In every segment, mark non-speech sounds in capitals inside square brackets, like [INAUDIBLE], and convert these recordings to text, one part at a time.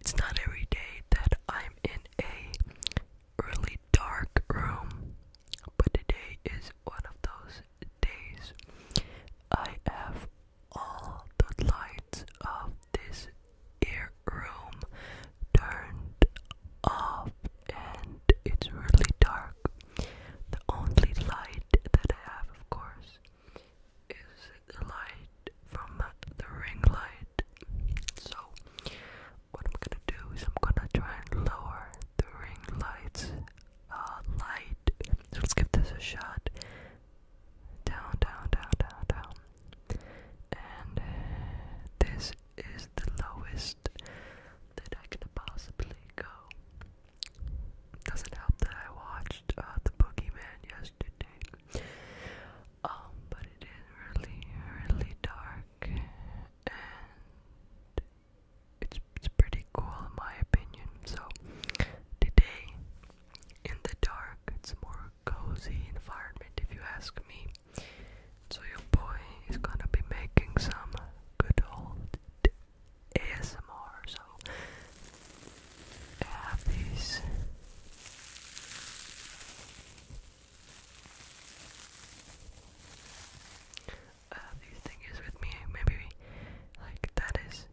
It's not every day that I'm in a really dark room, but today is one of those days. I have all the lights of this ear room turned off, and it's really dark the only light that I have, of course, is the light from the ring light. So, what I'm gonna do is I'm gonna try and lower the ring light's uh, light. So, let's give this a shot. Down, down, down, down, down. And this is the lowest that I could possibly go. Doesn't help that I watched uh, The Boogeyman yesterday. Um, but it is really, really dark, and it's it's pretty cool in my opinion. So today, in the dark, it's a more cozy environment if you ask me. So your boy is gonna be making some good old ASMR. So I have these I uh, have these with me. Maybe like that is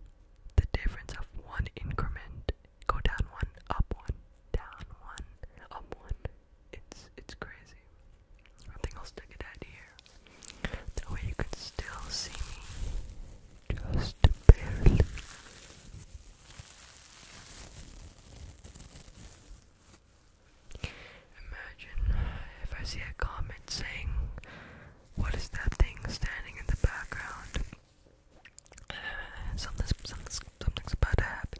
the difference of one increment. Go down one, up one, down one, up one, it's it's crazy. I think I'll stick it out here. That way you can still see me. Just barely. Imagine if I see a comment saying, What is that thing standing in the background? [SIGHS] something's, something's, something's about to happen.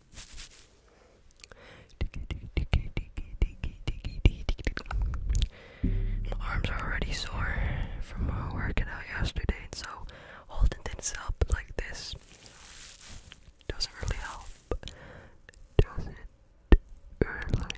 My arms are already sore from working out yesterday, and so holding things up like this doesn't really help. Doesn't help.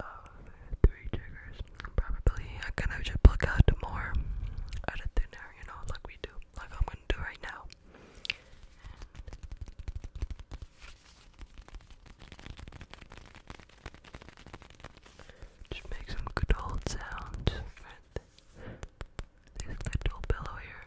Oh, three triggers. Probably I kind of should pluck out more out of thin you know, like we do, like I'm gonna do right now. just make some good old sounds with this little pillow here.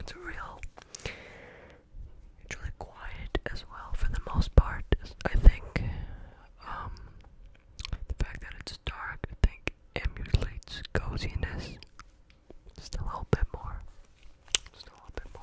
It's real. really quiet as well for the most part. I think um, the fact that it's dark, I think, emulates coziness. Just a little bit more. Just a little bit more.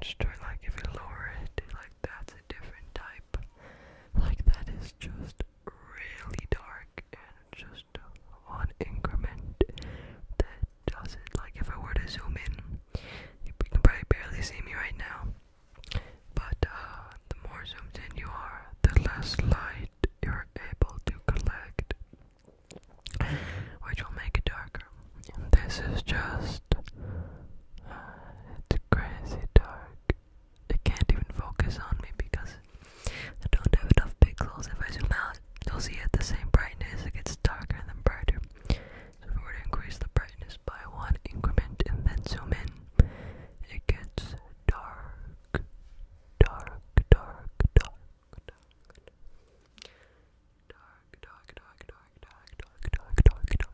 Just like if you lower it, like that's a different type. Like that is just really dark and just one increment that does it. Like if I were to zoom in, you can probably barely see me right now. But uh, the more zoomed in you are, the less light you're able to collect, which will make it darker this is just uh, it's crazy dark. It can't even focus on me because I don't have enough pixels. If I zoom out, you'll see it the same brightness. It gets darker and then brighter. So if we were to increase the brightness by one increment and then zoom in, it gets dark, dark, dark, dark dark, dark, dark, dark, dark, dark, dark, dark, dark.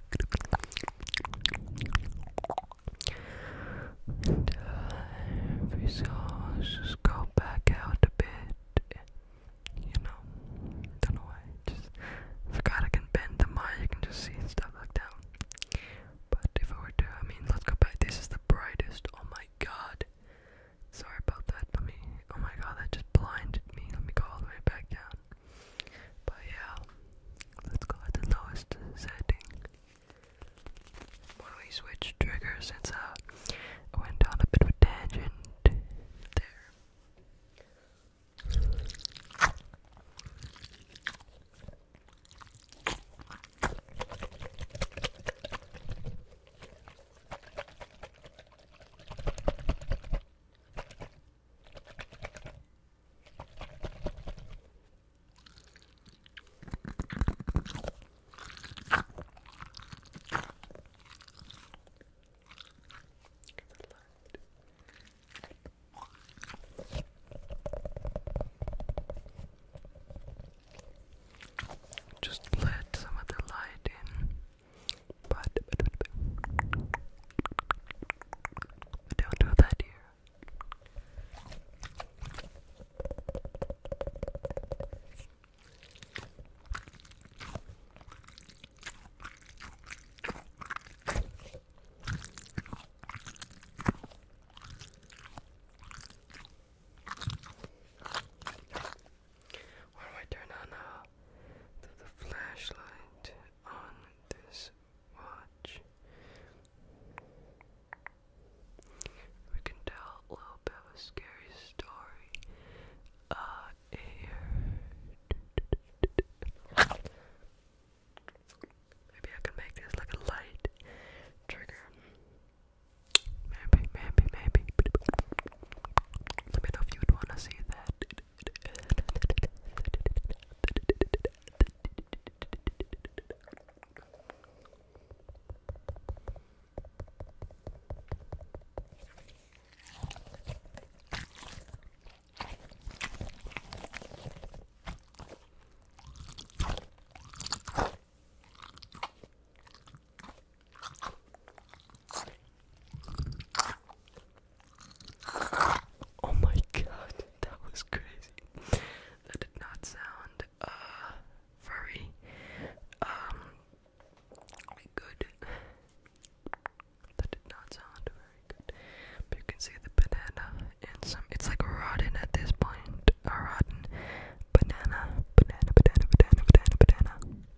Time for souls, just go back out a bit. You know, don't know why. Just forgot I can bend the mic. You can just see stuff like that. But if I were to, I mean, let's go back. This is the brightest. Oh my god. Sorry about that. Let me. Oh my god, that just blinded me. Let me go all the way back down. But yeah, let's go at the lowest setting. When we switch triggers, since uh, went down a bit of a tangent there. Just let some of light in. But, but, but, but don't do that here. Or do I turn on uh, the, the flashlight on this watch? We can tell a little bit of a scary story uh, here. Maybe I can make this like a light trigger. Maybe, maybe, maybe. Let me know if you would want to see that. Oh my god, [LAUGHS] that was crazy. That did not sound very uh, um, good. That did not sound very good. you can see the banana and some it's like rotten at this point. rotten banana, banana, banana, banana, banana, banana.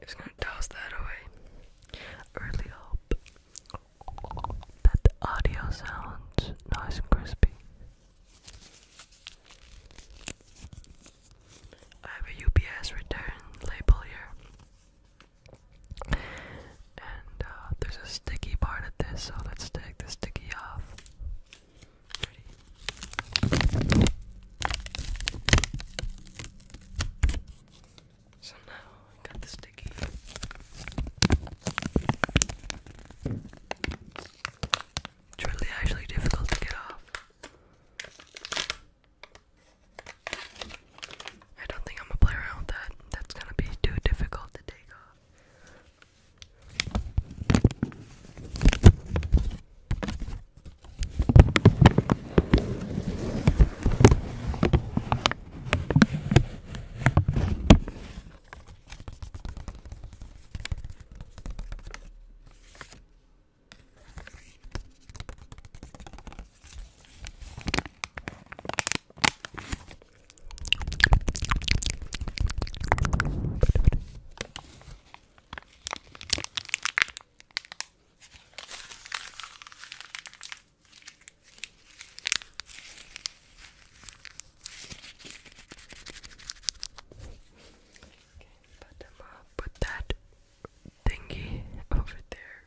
Just gonna toss that away. I hope that the audio sounds nice and crispy. I have a UPS return label here. And uh, there's a sticky part of this, so let's take the sticky off. So now I got the sticky. It's really actually difficult to get off. I don't think I'm gonna play around with that. That's gonna be too difficult to take off. Okay, put them up, put that thingy over there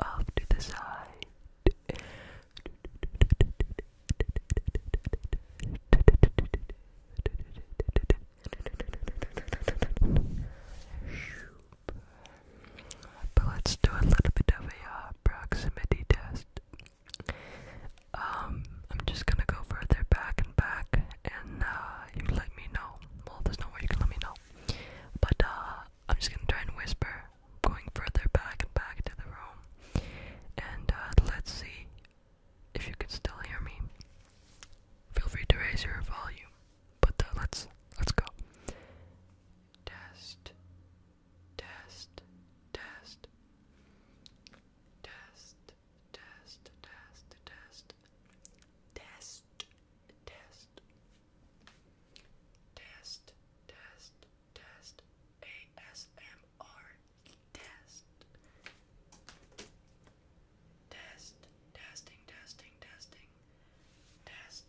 off to the side. But let's do a little bit of a uh, proximity test. Um, I'm just gonna go further back and back and uh, uh, you let me know. Well, there's no way you can let me know. But uh, I'm just gonna try and whisper, going further back and back to the room. And uh, let's see if you can still hear me. Feel free to raise your volume. But let's let's go. Test, test, test, test test, test, test, test, test, test, test, test, ASMR, test, test, testing, testing, testing, test.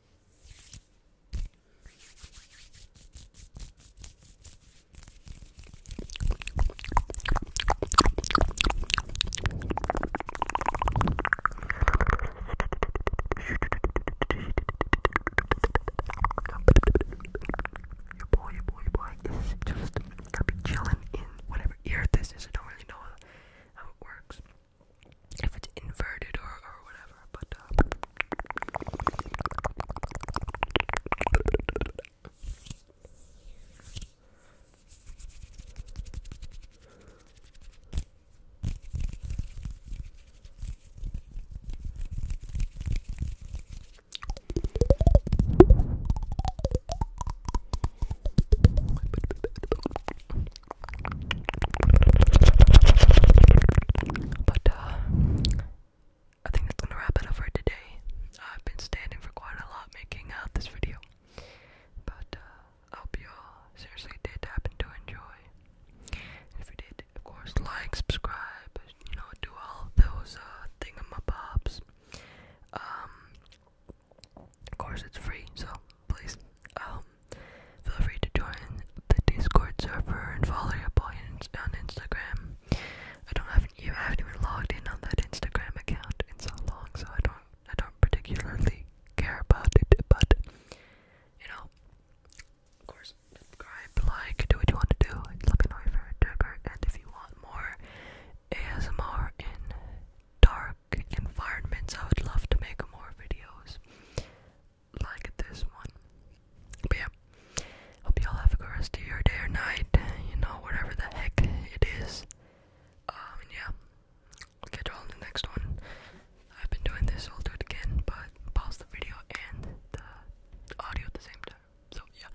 Your boy, your boy, your boy is just gonna be chilling in whatever ear this is. I don't really know how it works if it's inverted or, or whatever, but uh, but uh, I think that's gonna wrap it up for today. Uh, I've been standing for quite a lot making out uh, this video. But I hope you all seriously did happen to enjoy. If you did, of course like, subscribe, you know, do all those uh thingamabobs. Um of course, it's free, so please um, feel free to join the Discord server and follow your boy on Instagram. I don't have you haven't even logged in on that Instagram account in so long, so I don't I don't particularly care about it, but you know, of course, subscribe, like, do what you want to do. Let me know if you're a digger and if you want more ASMR in dark environments, I would love to make more videos like this one. But yeah, hope you all have a rest of your day or night, you know, whatever the heck it is. Um, yeah, catch you all in the next one. I've been doing this, so I'll do it again, but pause the video and the audio at the same time. So yeah,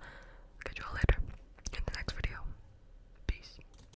catch you all later in the next video. Peace.